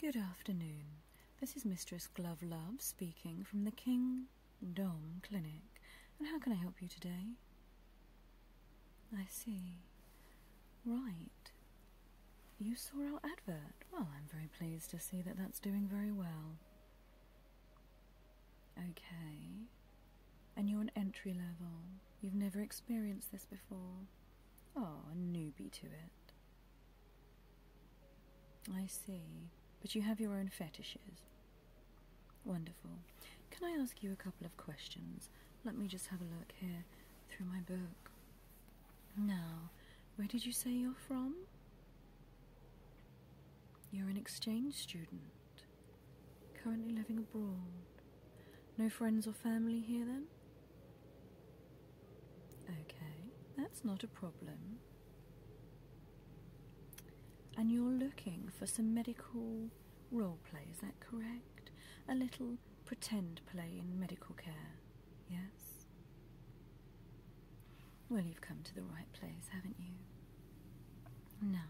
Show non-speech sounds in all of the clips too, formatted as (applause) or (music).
Good afternoon. This is Mistress Glove Love speaking from the King Dom Clinic. And how can I help you today? I see. Right. You saw our advert? Well, I'm very pleased to see that that's doing very well. Okay. And you're an entry level. You've never experienced this before. Oh, a newbie to it. I see. But you have your own fetishes. Wonderful. Can I ask you a couple of questions? Let me just have a look here through my book. Now, where did you say you're from? You're an exchange student, currently living abroad. No friends or family here then? Okay, that's not a problem. And you're looking for some medical role play, is that correct? A little pretend play in medical care, yes? Well, you've come to the right place, haven't you? Now,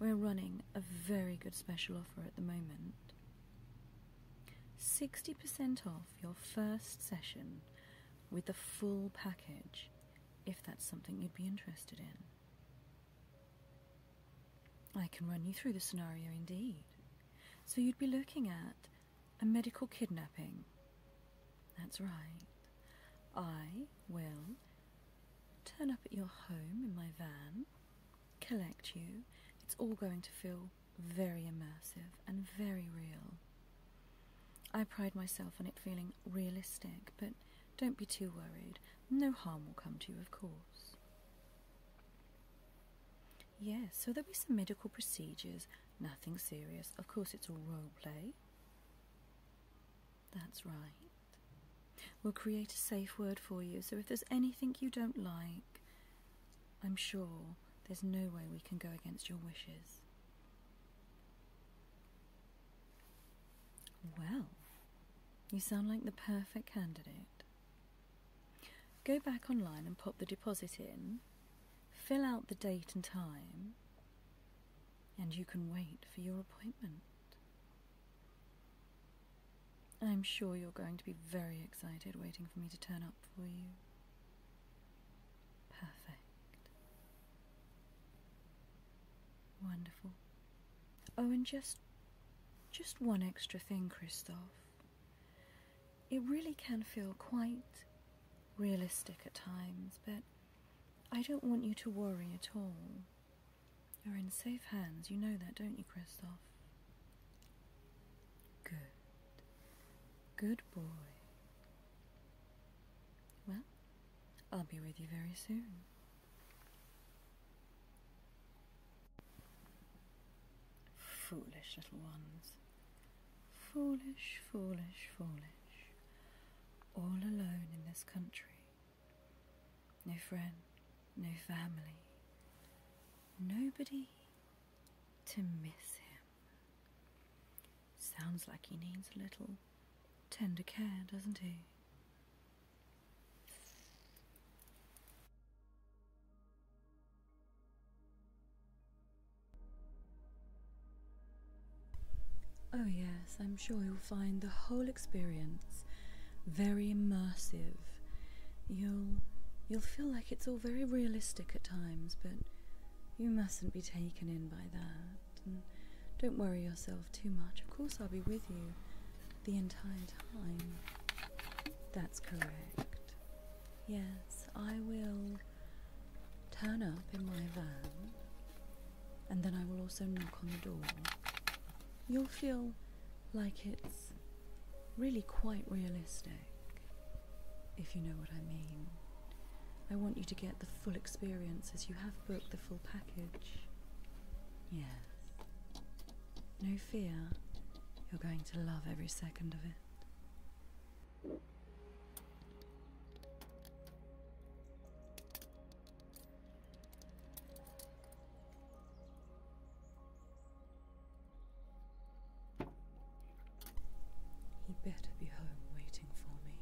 we're running a very good special offer at the moment. 60% off your first session with the full package, if that's something you'd be interested in. I can run you through the scenario indeed. So you'd be looking at a medical kidnapping. That's right. I will turn up at your home in my van, collect you. It's all going to feel very immersive and very real. I pride myself on it feeling realistic, but don't be too worried. No harm will come to you, of course. Yes, so there'll be some medical procedures, nothing serious. Of course, it's all role play. That's right. We'll create a safe word for you, so if there's anything you don't like, I'm sure there's no way we can go against your wishes. Well, you sound like the perfect candidate. Go back online and pop the deposit in, Fill out the date and time, and you can wait for your appointment. I'm sure you're going to be very excited waiting for me to turn up for you. Perfect. Wonderful. Oh, and just just one extra thing, Christophe it really can feel quite realistic at times, but I don't want you to worry at all. You're in safe hands, you know that, don't you, Christoph? Good. Good boy. Well, I'll be with you very soon. Foolish little ones. Foolish, foolish, foolish, all alone in this country. No friend, no family, nobody to miss him. Sounds like he needs a little tender care, doesn't he? Oh, yes, I'm sure you'll find the whole experience very immersive. You'll you'll feel like it's all very realistic at times, but you mustn't be taken in by that. And don't worry yourself too much. Of course, I'll be with you the entire time. That's correct. Yes, I will turn up in my van, and then I will also knock on the door, you'll feel like it's really quite realistic, if you know what I mean. I want you to get the full experience as you have booked the full package. Yes. No fear, you're going to love every second of it. He better be home waiting for me.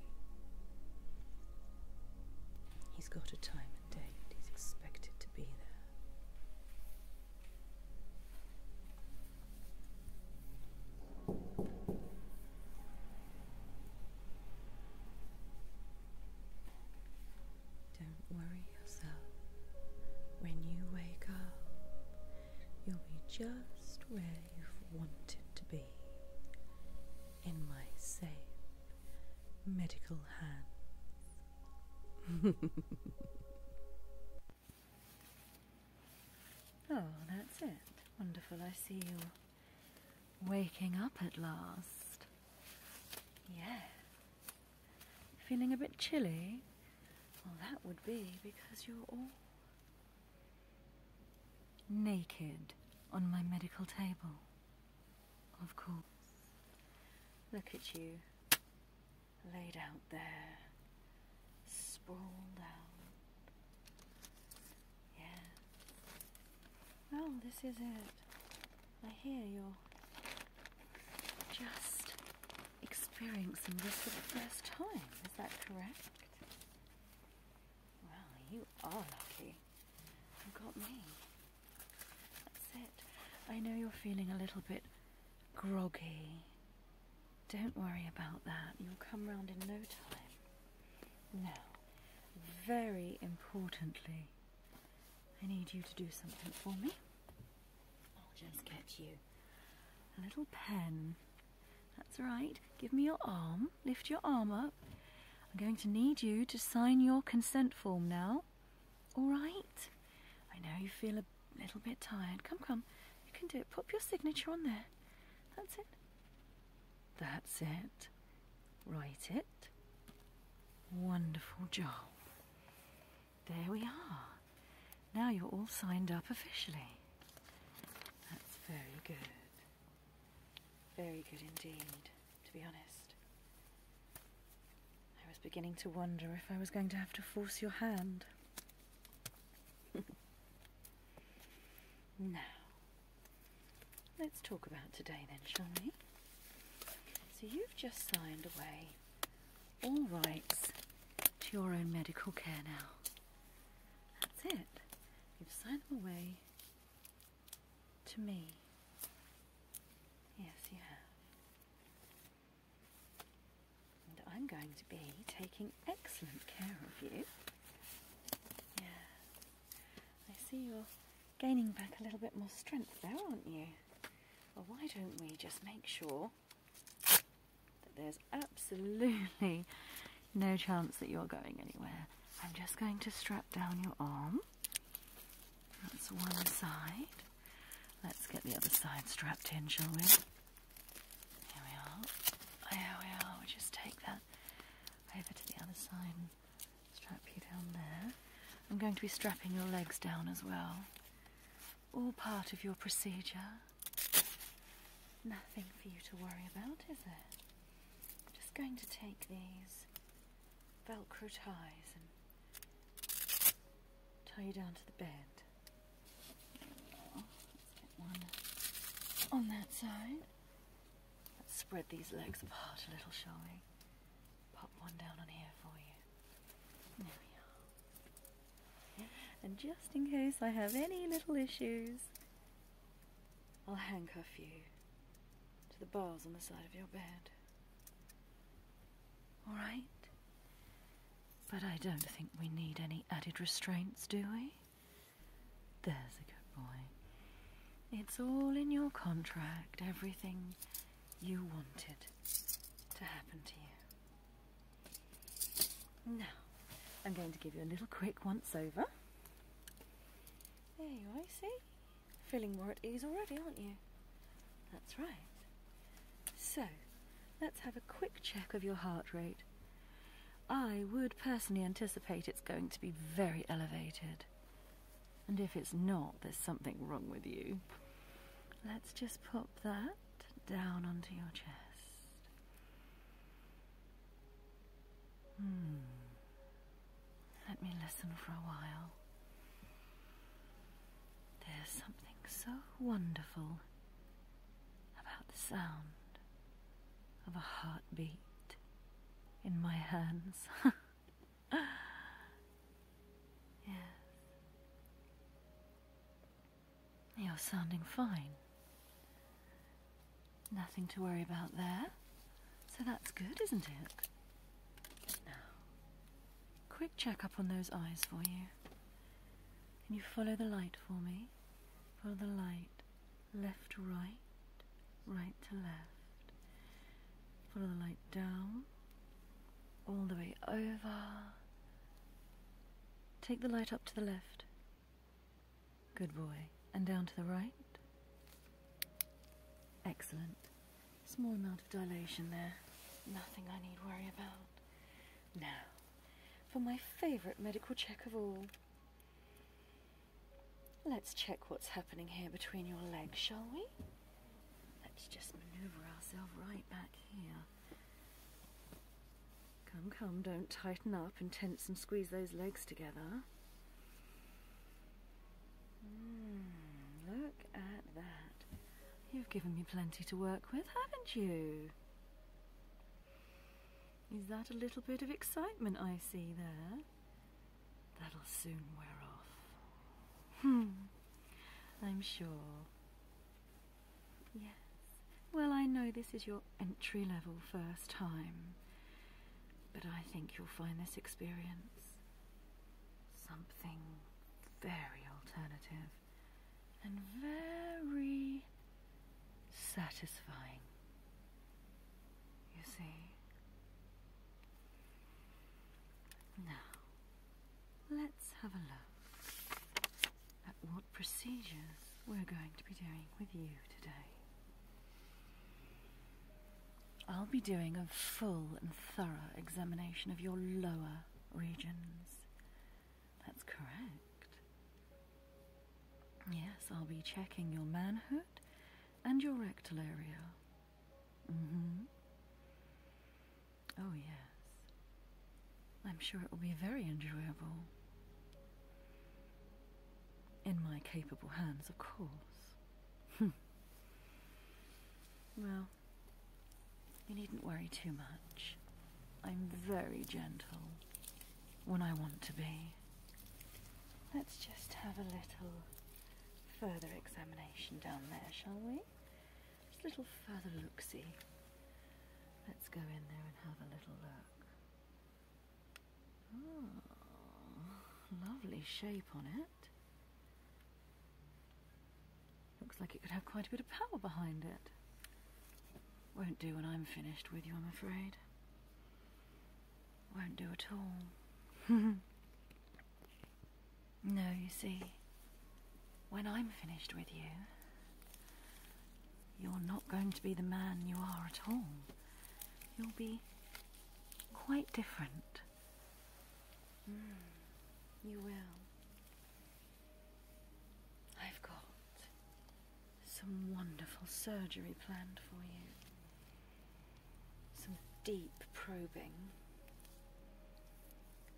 He's got a time and date. He's expected to be there. Don't worry yourself. When you wake up, you'll be just where you've wanted to be in my safe medical hands. (laughs) Oh, that's it. Wonderful. I see you waking up at last. Yeah. Feeling a bit chilly? Well, that would be because you're all naked on my medical table. Of course. Look at you laid out there Sprawl down. Yeah. Well, this is it. I hear you're just experiencing this for the first time. Is that correct? Well, you are lucky. You got me. That's it. I know you're feeling a little bit groggy. Don't worry about that, you'll come round in no time. Now, very importantly, I need you to do something for me. I'll just get you a little pen. That's right, give me your arm, lift your arm up. I'm going to need you to sign your consent form now. All right? I know you feel a little bit tired. Come, come, you can do it. Pop your signature on there. That's it. That's it. Write it. Wonderful job. There we are. Now you're all signed up officially. That's very good. Very good indeed, to be honest. I was beginning to wonder if I was going to have to force your hand. (laughs) now, let's talk about today then, shall we? So you've just signed away all rights to your own medical care now. That's it. You've signed them away to me. Yes, you have. And I'm going to be taking excellent care of you. Yeah. I see you're gaining back a little bit more strength there, aren't you? Well, why don't we just make sure that there's absolutely no chance that you're going anywhere? I'm just going to strap down your arm. That's one side. Let's get the other side strapped in, shall we? There we are. There we are. we just take that over to the other side strap you down there. I'm going to be strapping your legs down as well. All part of your procedure. Nothing for you to worry about, is it? just going to take these Velcro ties and tie you down to the bed. Let's get one on that side. Let's spread these legs apart a little, shall we? Pop one down on here for you. There we are. And just in case I have any little issues, I'll handcuff you to the bars on the side of your bed. Alright? But I don't think we need any added restraints, do we? There's a good boy. It's all in your contract, everything you wanted to happen to you. Now, I'm going to give you a little quick once over. There you are, see? Feeling more at ease already, aren't you? That's right. So, let's have a quick check of your heart rate. I would personally anticipate it's going to be very elevated. And if it's not, there's something wrong with you. Let's just pop that down onto your chest. Hmm. Let me listen for a while. There's something so wonderful about the sound of a heartbeat in my hands. (laughs) yes. You're sounding fine. Nothing to worry about there. So that's good, isn't it? Now, quick check up on those eyes for you. Can you follow the light for me. Follow the light left to right, right to left. Follow the light down, all the way over. Take the light up to the left. Good boy. And down to the right. Excellent. Small amount of dilation there. Nothing I need worry about. Now, for my favourite medical check of all. Let's check what's happening here between your legs, shall we? Let's just maneuver ourselves right back here. Come, come, don't tighten up and tense and squeeze those legs together. Hmm, look at that. You've given me plenty to work with, haven't you? Is that a little bit of excitement I see there? That'll soon wear off. Hmm, I'm sure. Yes, well, I know this is your entry level first time, but I think you'll find this experience something very alternative and very satisfying. You see? Now, let's have a look at what procedures we're going to be doing with you today. I'll be doing a full and thorough examination of your lower regions. That's correct. Yes, I'll be checking your manhood and your rectal area. Mm-hmm. Oh, yes. I'm sure it will be very enjoyable. In my capable hands, of course. Hmm. well, you needn't worry too much. I'm very gentle when I want to be. Let's just have a little further examination down there, shall we? Just a little further look-see. Let's go in there and have a little look. Oh, lovely shape on it. Looks like it could have quite a bit of power behind it. Won't do when I'm finished with you, I'm afraid won't do at all. (laughs) no, you see, when I'm finished with you, you're not going to be the man you are at all. You'll be quite different. Mm, you will. I've got some wonderful surgery planned for you. Some deep probing.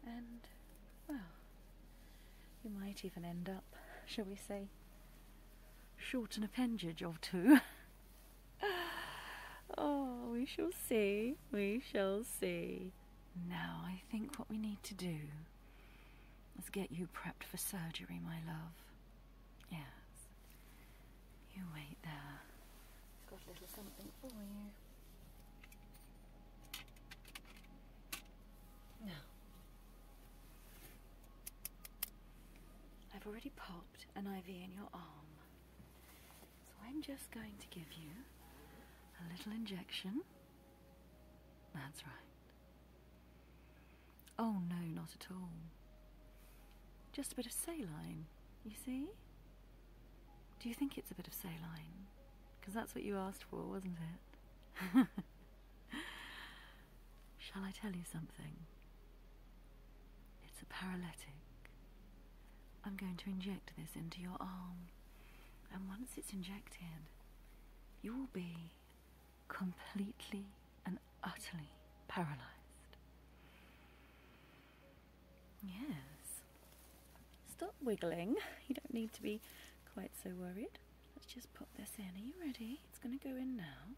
And, well, you might even end up, (laughs) shall we say, short an appendage or two. (laughs) oh, we shall see, we shall see. Now, I think what we need to do is get you prepped for surgery, my love. Yes. You wait there. Got a little something for you. Now, I've already popped an IV in your arm. So I'm just going to give you a little injection. That's right. Oh, no, not at all. Just a bit of saline, you see? Do you think it's a bit of saline? Because that's what you asked for, wasn't it? (laughs) Shall I tell you something? It's a paralytic. I'm going to inject this into your arm, and once it's injected, you will be completely and utterly paralyzed. Yes. Stop wiggling. You don't need to be quite so worried. Let's just pop this in. Are you ready? It's going to go in now.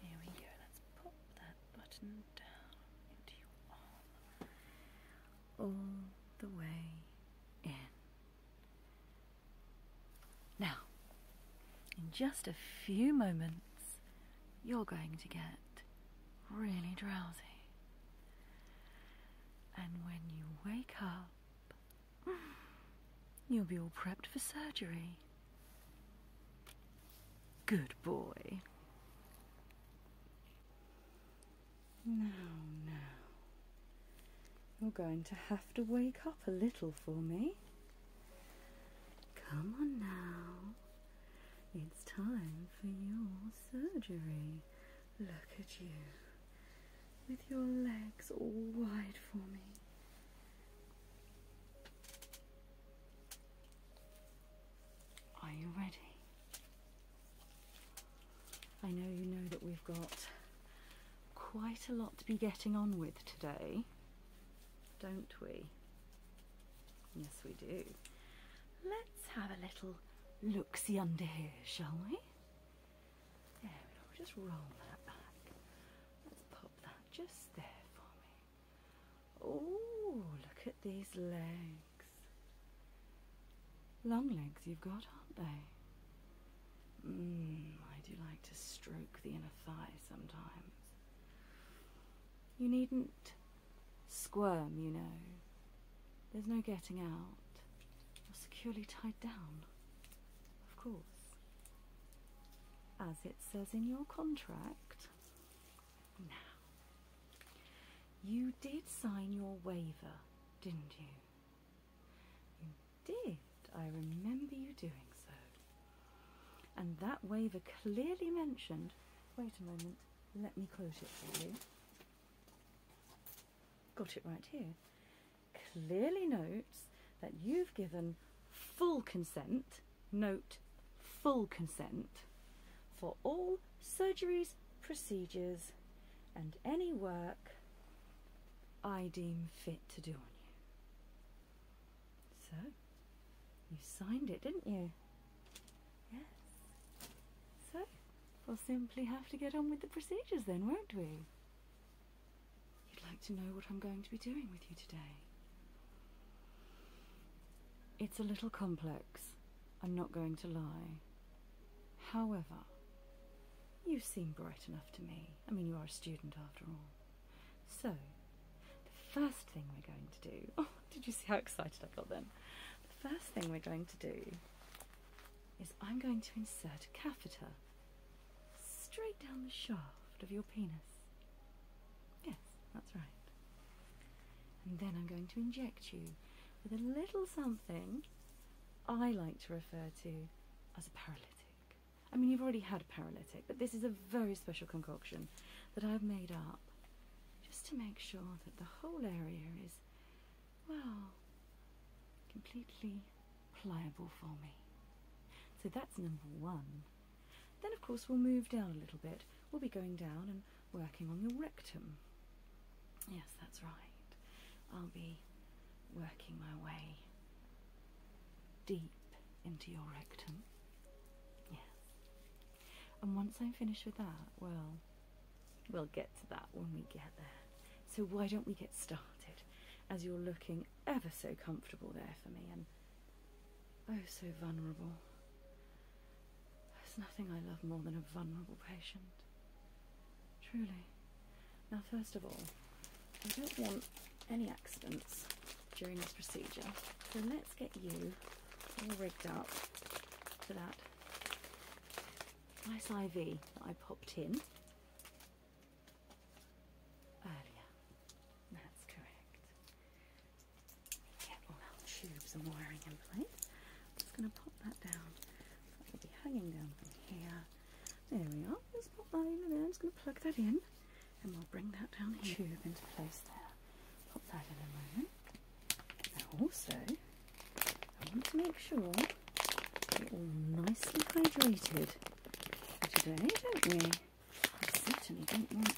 Here we go. Let's pop that button down into your arm. All the way in. Now, in just a few moments, you're going to get really drowsy. And when you wake up, (sighs) you'll be all prepped for surgery. Good boy. Now, now. You're going to have to wake up a little for me. Come on now. It's time for your surgery. Look at you with your legs all wide for me. Are you ready? I know you know that we've got quite a lot to be getting on with today don't we? Yes, we do. Let's have a little look-see under here, shall we? There Just roll that back. Let's pop that just there for me. Oh, look at these legs. Long legs you've got, aren't they? Mmm, I do like to stroke the inner thigh sometimes. You needn't squirm, you know. There's no getting out. You're securely tied down, of course. As it says in your contract. Now, you did sign your waiver, didn't you? You did. I remember you doing so. And that waiver clearly mentioned. Wait a moment, let me quote it for you. Got it right here. Clearly notes that you've given full consent, note full consent, for all surgeries, procedures, and any work I deem fit to do on you. So, you signed it, didn't you? Yes. So, we'll simply have to get on with the procedures then, won't we? You'd like to know what I'm going to be doing with you today. It's a little complex, I'm not going to lie. However, you seem bright enough to me. I mean, you are a student after all. So, the first thing we're going to do. (laughs) Oh, did you see how excited I have got them? The first thing we're going to do is I'm going to insert a catheter straight down the shaft of your penis. Yes, that's right. And then I'm going to inject you with a little something I like to refer to as a paralytic. I mean, you've already had paralytic, but this is a very special concoction that I've made up just to make sure that the whole area is, well, completely pliable for me. So that's number one. Then, of course, we'll move down a little bit. We'll be going down and working on the rectum. Yes, that's right. I'll be working my way deep into your rectum. Yes. And once I'm finished with that, well, we'll get to that when we get there. So why don't we get started? As you're looking ever so comfortable there for me and oh so vulnerable. There's nothing I love more than a vulnerable patient. Truly. Now, first of all, I don't want any accidents during this procedure. So let's get you all rigged up for that nice IV that I popped in earlier. That's correct. Get all our tubes and wiring in place. I'm just going to pop that down. That will be hanging down from here. There we are. Just pop that over there. I'm just going to plug that in and we'll bring that down the tube into place there. Pop that in a moment. Now also, I want to make sure we're all nicely hydrated today, don't we? certainly don't want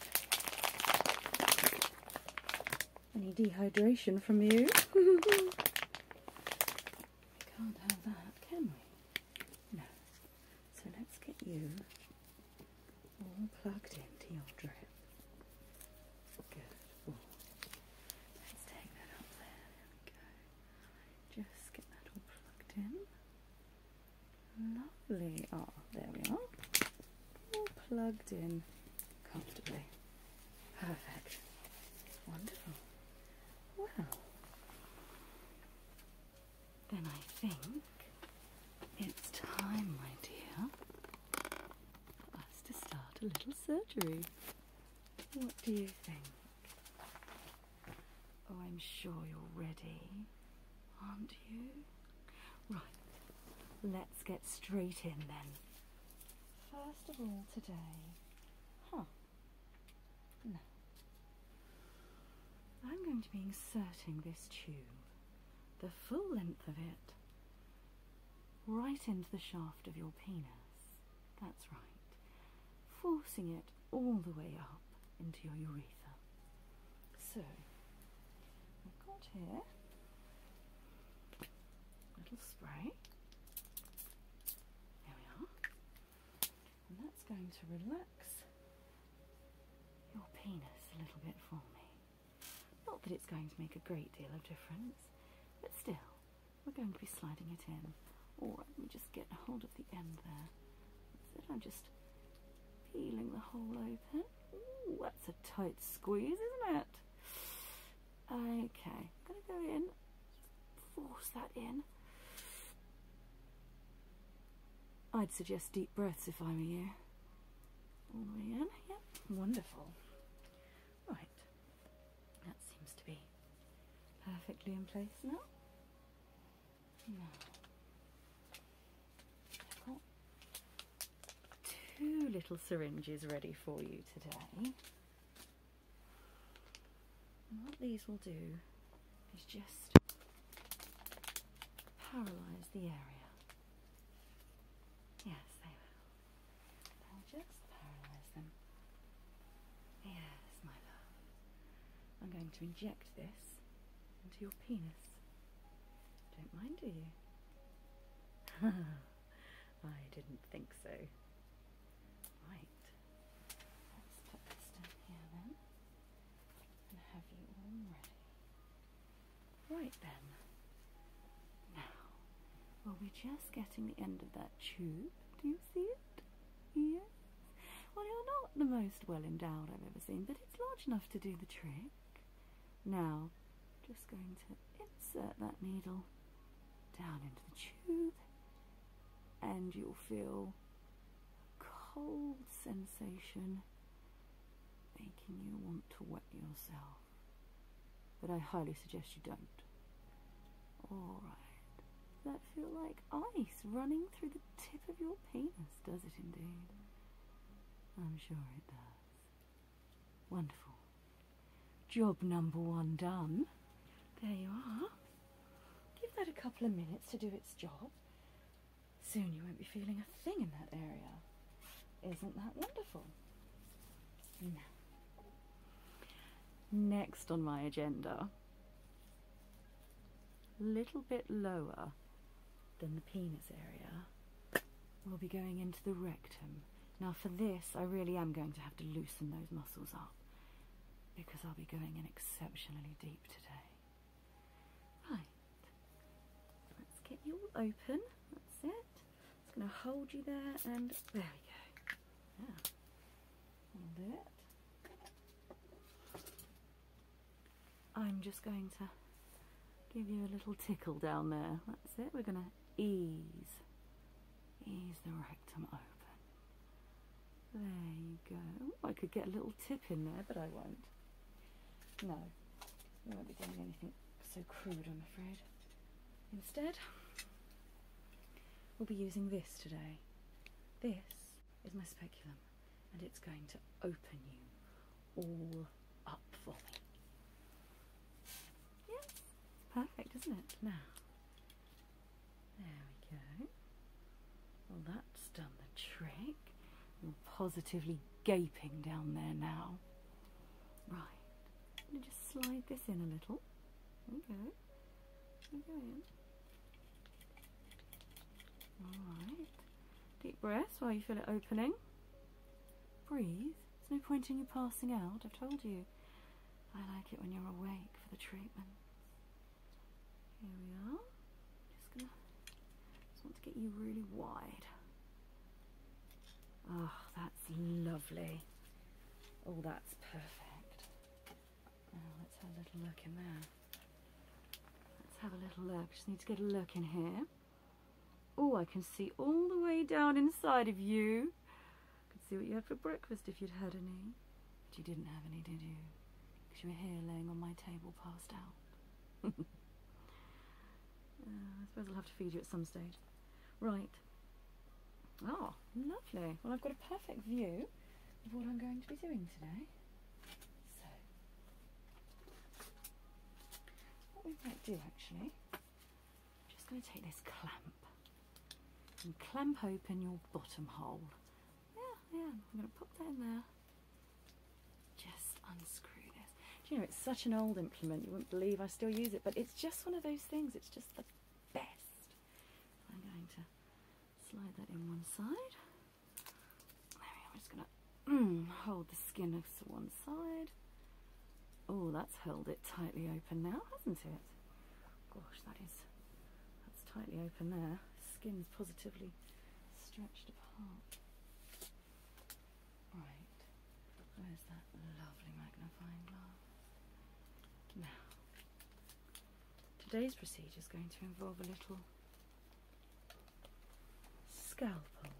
any dehydration from you. (laughs) can't have that, can we? No. So let's get you all plugged into your drip. Good Let's take that up there. There we go. Just get that all plugged in. Lovely. Oh, there we are. All plugged in comfortably. Perfect. Wonderful. Wow. Then I think it's time, my dear, for us to start a little surgery. What do you think? Oh, I'm sure you're ready, aren't you? Right, let's get straight in then. First of all, today, huh? No. I'm going to be inserting this tube the full length of it, right into the shaft of your penis. That's right. Forcing it all the way up into your urethra. So, we have got here a little spray. There we are. And that's going to relax your penis a little bit for me. Not that it's going to make a great deal of difference, but still, we're going to be sliding it in. Alright, let me just get a hold of the end there. I'm just peeling the hole open. Ooh, that's a tight squeeze, isn't it? Okay, I'm going to go in, force that in. I'd suggest deep breaths if I were you. All the way wonderful. Right, that seems to be perfectly in place now. I've got two little syringes ready for you today. what these will do is just paralyse the area. Yes, they will. They'll just paralyze them. Yes, my love. I'm going to inject this into your penis. Don't mind, do you? (laughs) I didn't think so. Right. Let's put this down here then and have you ready. Right then. Now, well, we're just getting the end of that tube. Do you see it? Yes. Well, you're not the most well endowed I've ever seen, but it's large enough to do the trick. Now, just going to insert that needle down into the tube, and you'll feel a cold sensation making you want to wet yourself. But I highly suggest you don't. Alright. That feel like ice running through the tip of your penis, does it indeed? I'm sure it does. Wonderful. Job number one done. There you are. Give that a couple of minutes to do its job Soon you won't be feeling a thing in that area. Isn't that wonderful? Now, next on my agenda, a little bit lower than the penis area, we'll be going into the rectum. Now for this, I really am going to have to loosen those muscles up because I'll be going in exceptionally deep today. Right, let's get you open. That's it. It's going to hold you there, and there we go. yeah. do it. I'm just going to give you a little tickle down there. That's it. We're going to ease, ease the rectum open. There you go. I could get a little tip in there, but I won't. No, we won't be doing anything so crude, I'm afraid. Instead, we'll be using this today. This is my speculum, and it's going to open you all up for me. Yes, perfect, isn't it? Now, there we go. Well, that's done the trick. You're positively gaping down there now. Right. just slide this in a little. There There we go Alright. Deep breaths while you feel it opening. Breathe. There's no point in you passing out, I've told you. I like it when you're awake for the treatment. Here we are. Just gonna just want to get you really wide. Oh, that's lovely. Oh, that's perfect. let's have a little look in there. Let's have a little look. Just need to get a look in here. Oh, I can see all the way down inside of you. I could see what you had for breakfast if you'd had any. But you didn't have any, did you? Because you were here laying on my table passed out. (laughs) Uh, I suppose I'll have to feed you at some stage. Right. Oh, lovely. Well, I've got a perfect view of what I'm going to be doing today. So, what we might do actually, I'm just going to take this clamp and clamp open your bottom hole. Yeah, yeah, I'm going to pop that in there. Just unscrew this. you know, it's such an old implement, you wouldn't believe I still use it, but it's just one of those things, it's just the best. I'm going to slide that in one side. There we are, just going to mm, hold the skin to one side. Oh, that's held it tightly open now, hasn't it? Gosh, that is, that's tightly open there. Skin's positively stretched apart. Right, where's that lovely magnifying glass? Now, today's procedure is going to involve a little scalpel.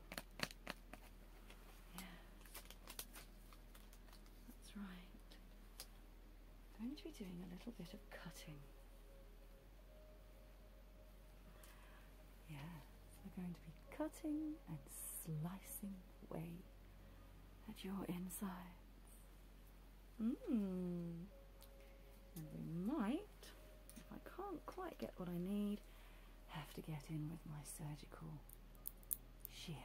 Yes, that's right. I'm going to be doing a little bit of cutting. Yeah, we're going to be cutting and slicing away at your insides. Mmm. And we might, if I can't quite get what I need, have to get in with my surgical shears.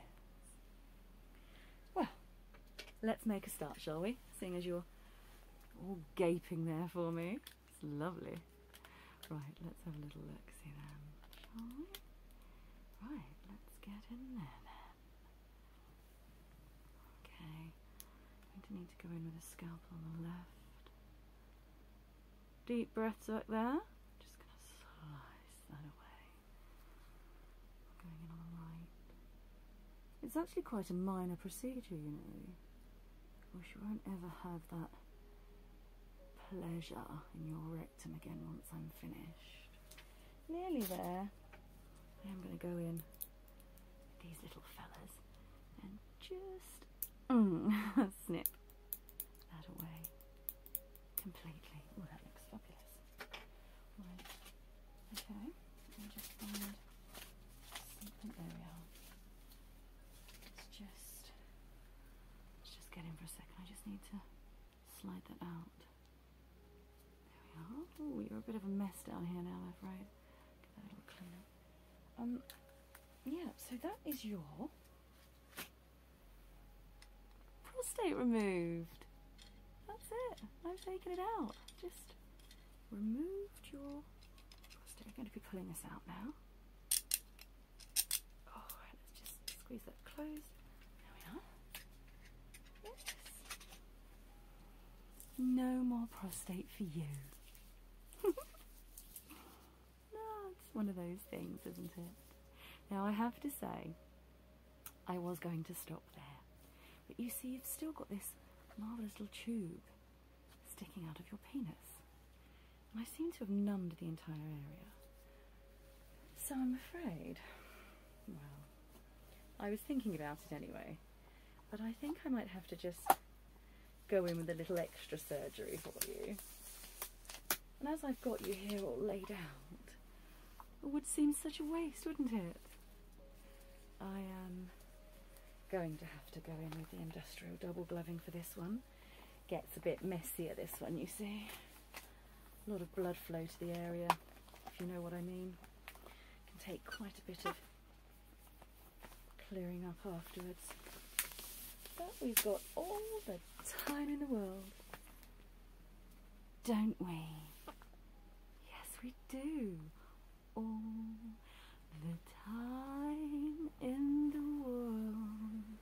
Well, let's make a start, shall we? Seeing as you're all gaping there for me. It's lovely. Right, let's have a little look see them. shall Right, let's get in there Okay, need to go in with a scalpel on the left. Deep breaths back there. Just going to slice that away. going in on the right. It's actually quite a minor procedure, you know. I wish you won't ever have that pleasure in your rectum again once I'm finished. Nearly there. I am going to go in these little fellas and just mm, (laughs) snip that away completely. Oh, that looks fabulous. Right. Okay, There we are. It's just, let's just get in for a second. I just need to slide that out. There we are. Oh, you're a bit of a mess down here now, I'm afraid. Get little clean up. Um, yeah, so that is your prostate removed. That's it. i am taken it out. Just removed your prostate. I'm going to be pulling this out now. Oh, let's just squeeze that closed. There we are. No more prostate for you. (laughs) no, it's one of those things, isn't it? Now, I have to say, I was going to stop there. But you see, you've still got this marvellous little tube sticking out of your penis. And I seem to have numbed the entire area. So I'm afraid, well, I was thinking about it anyway, but I think I might have to just go in with a little extra surgery for you. And as I've got you here all laid out, it would seem such a waste, wouldn't it? I am going to have to go in with the industrial double gloving for this one. Gets a bit messier, this one, you see. A lot of blood flow to the area, if you know what I mean. Can take quite a bit of clearing up afterwards. But we've got all the time in the world, don't we? Yes, we do. All the time in the world.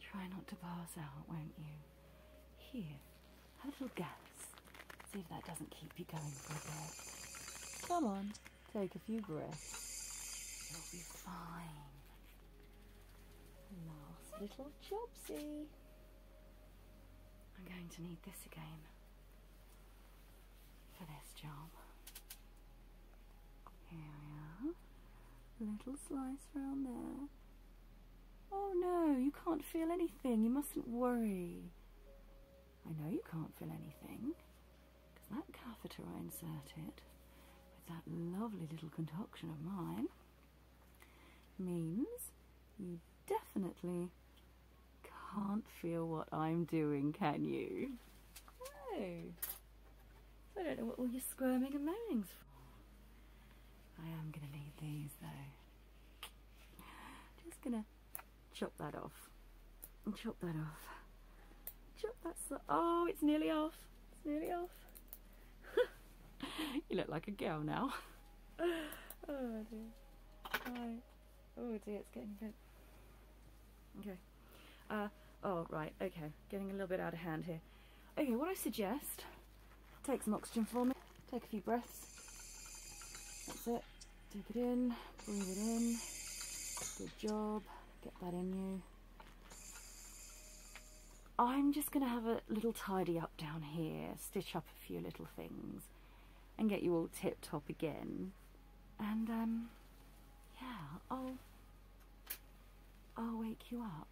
Try not to pass out, won't you? Here, have a little gas. See if that doesn't keep you going for a bit. Come on, take a few breaths. You'll be fine. Last little chopsey. I'm going to need this again for this job. Here we are. Little slice round there. Oh no, you can't feel anything. You mustn't worry. I know you can't feel anything because that catheter I inserted with that lovely little concoction of mine means you definitely can't feel what I'm doing, can you? No. I don't know what all your squirming and moaning's for. I am going to need these though. Just going to chop that off. And chop that off. Chop that so Oh, it's nearly off. It's nearly off. (laughs) you look like a girl now. (laughs) oh dear. Right. Oh dear, it's getting good. Okay. Uh, oh, right, okay. Getting a little bit out of hand here. Okay, what I suggest, take some oxygen for me, take a few breaths, that's it, Dip it in, breathe it in, good job, get that in you. I'm just going to have a little tidy up down here, stitch up a few little things and get you all tip top again. And um, yeah, I'll, I'll wake you up.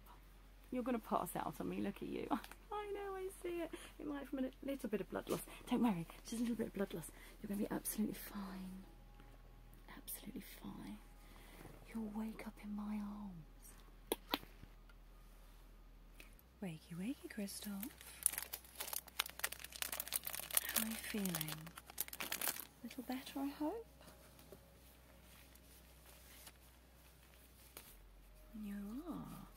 You're going to pass out on me. Look at you. (laughs) I know, I see it. It might from a little bit of blood loss. Don't worry, just a little bit of blood loss. You're going to be absolutely fine. Absolutely fine. You'll wake up in my arms. Wakey, wakey, Christoph. How are you feeling? A little better, I hope? You are.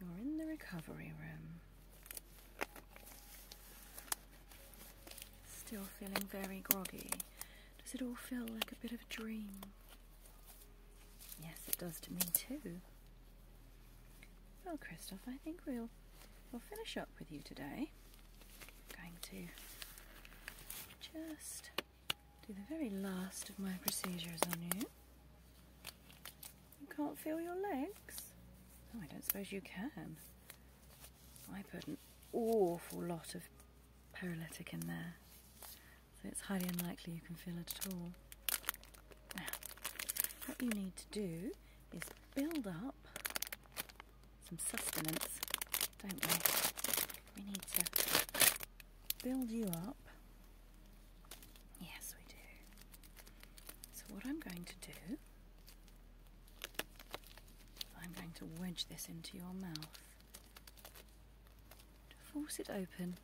You're in the recovery room. Still feeling very groggy. Does it all feel like a bit of a dream? Yes, it does to me too. Well, Christoph, I think we'll we'll finish up with you today. I'm going to just do the very last of my procedures on you. You can't feel your legs? Oh, I don't suppose you can. I put an awful lot of paralytic in there, so it's highly unlikely you can feel it at all. Now, what you need to do is build up some sustenance, don't we? We need to build you up. Yes, we do. So, what I'm going to do, I'm going to wedge this into your mouth to force it open.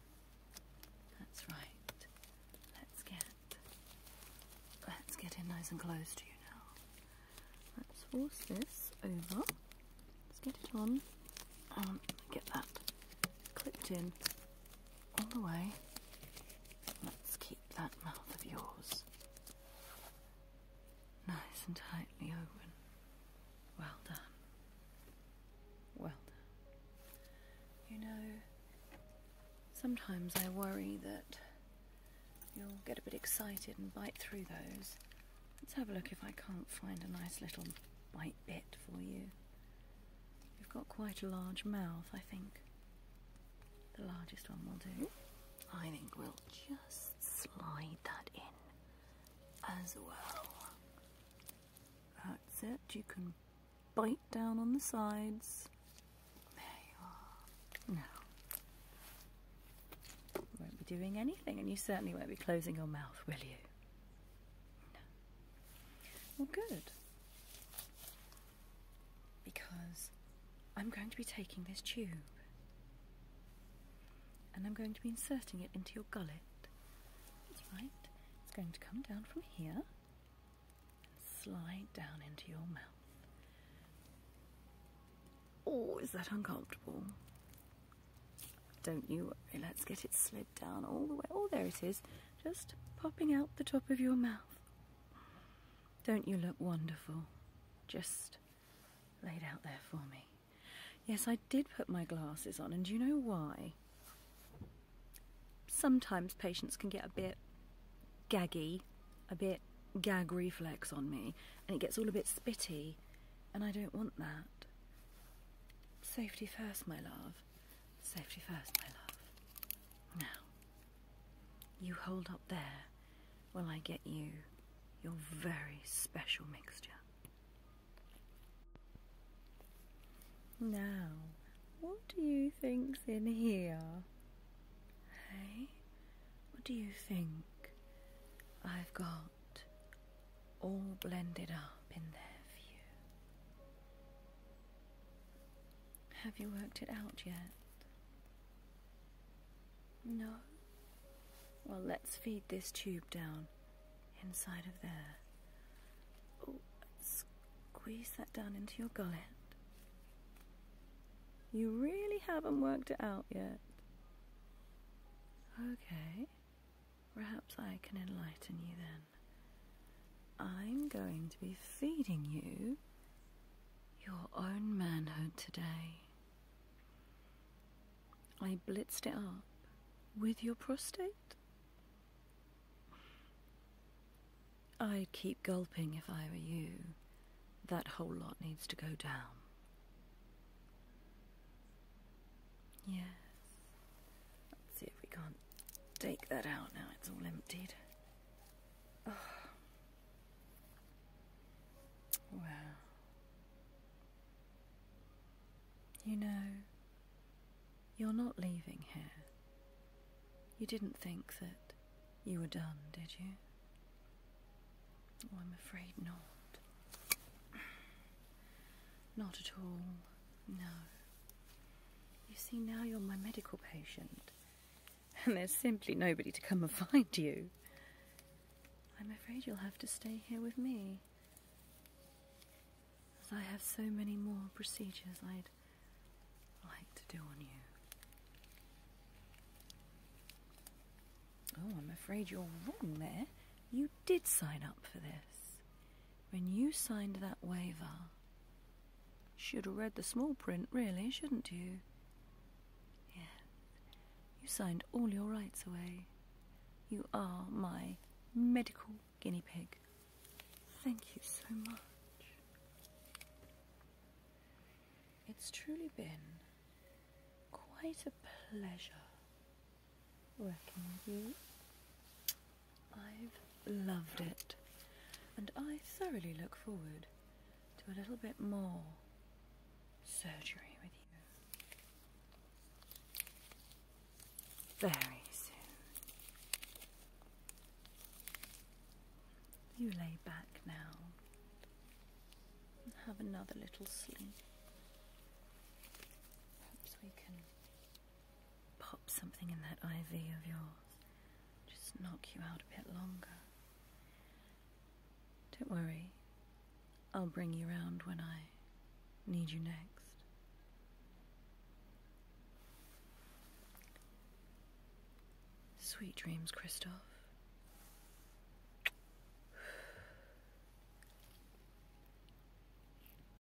That's right. Let's get let's get in nice and close to you now. Let's force this over. Let's get it on. Um, get that clipped in all the way. Let's keep that mouth of yours nice and tightly open. Well done. Well done. You know, sometimes I worry that you'll get a bit excited and bite through those. Let's have a look if I can't find a nice little bite bit for you. You've got quite a large mouth, I think. The largest one will do. I think we'll just slide that in as well. That's it. You can bite down on the sides. There you are. Now, you won't be doing anything, and you certainly won't be closing your mouth, will you? Well, good. Because I'm going to be taking this tube and I'm going to be inserting it into your gullet. That's right. It's going to come down from here and slide down into your mouth. Oh, is that uncomfortable? Don't you worry, let's get it slid down all the way. Oh, there it is, just popping out the top of your mouth. Don't you look wonderful? Just laid out there for me. Yes, I did put my glasses on, and do you know why? Sometimes patients can get a bit gaggy, a bit gag reflex on me, and it gets all a bit spitty, and I don't want that. Safety first, my love. Safety first, my love. Now, you hold up there while I get you your very special mixture. Now, what do you think's in here? Hey, what do you think I've got all blended up in their view. Have you worked it out yet? No? Well, let's feed this tube down inside of there. Ooh, squeeze that down into your gullet. You really haven't worked it out yet. Okay. Perhaps I can enlighten you then. I'm going to be feeding you your own manhood today. I blitzed it up with your prostate. I'd keep gulping if I were you. That whole lot needs to go down. Yes. Let's see if we can't take that out now. It's all emptied. Oh. Wow. You know, you're not leaving here. You didn't think that you were done, did you? Oh, I'm afraid not. Not at all, no. You see, now you're my medical patient, and there's simply nobody to come and (laughs) find you. I'm afraid you'll have to stay here with me. As I have so many more procedures I'd like to do on you. Oh, I'm afraid you're wrong there. You did sign up for this when you signed that waiver, you should have read the small print, really, shouldn't you? Yes. You signed all your rights away. You are my medical guinea pig. Thank you so much. It's truly been quite a pleasure working with you. I've loved it, and I thoroughly look forward to a little bit more surgery with you very soon. You lay back now and have another little sleep. Perhaps we can pop something in that IV of yours. Just knock you out a bit longer. Don't worry. I'll bring you round when I need you next. Sweet dreams, Christoph.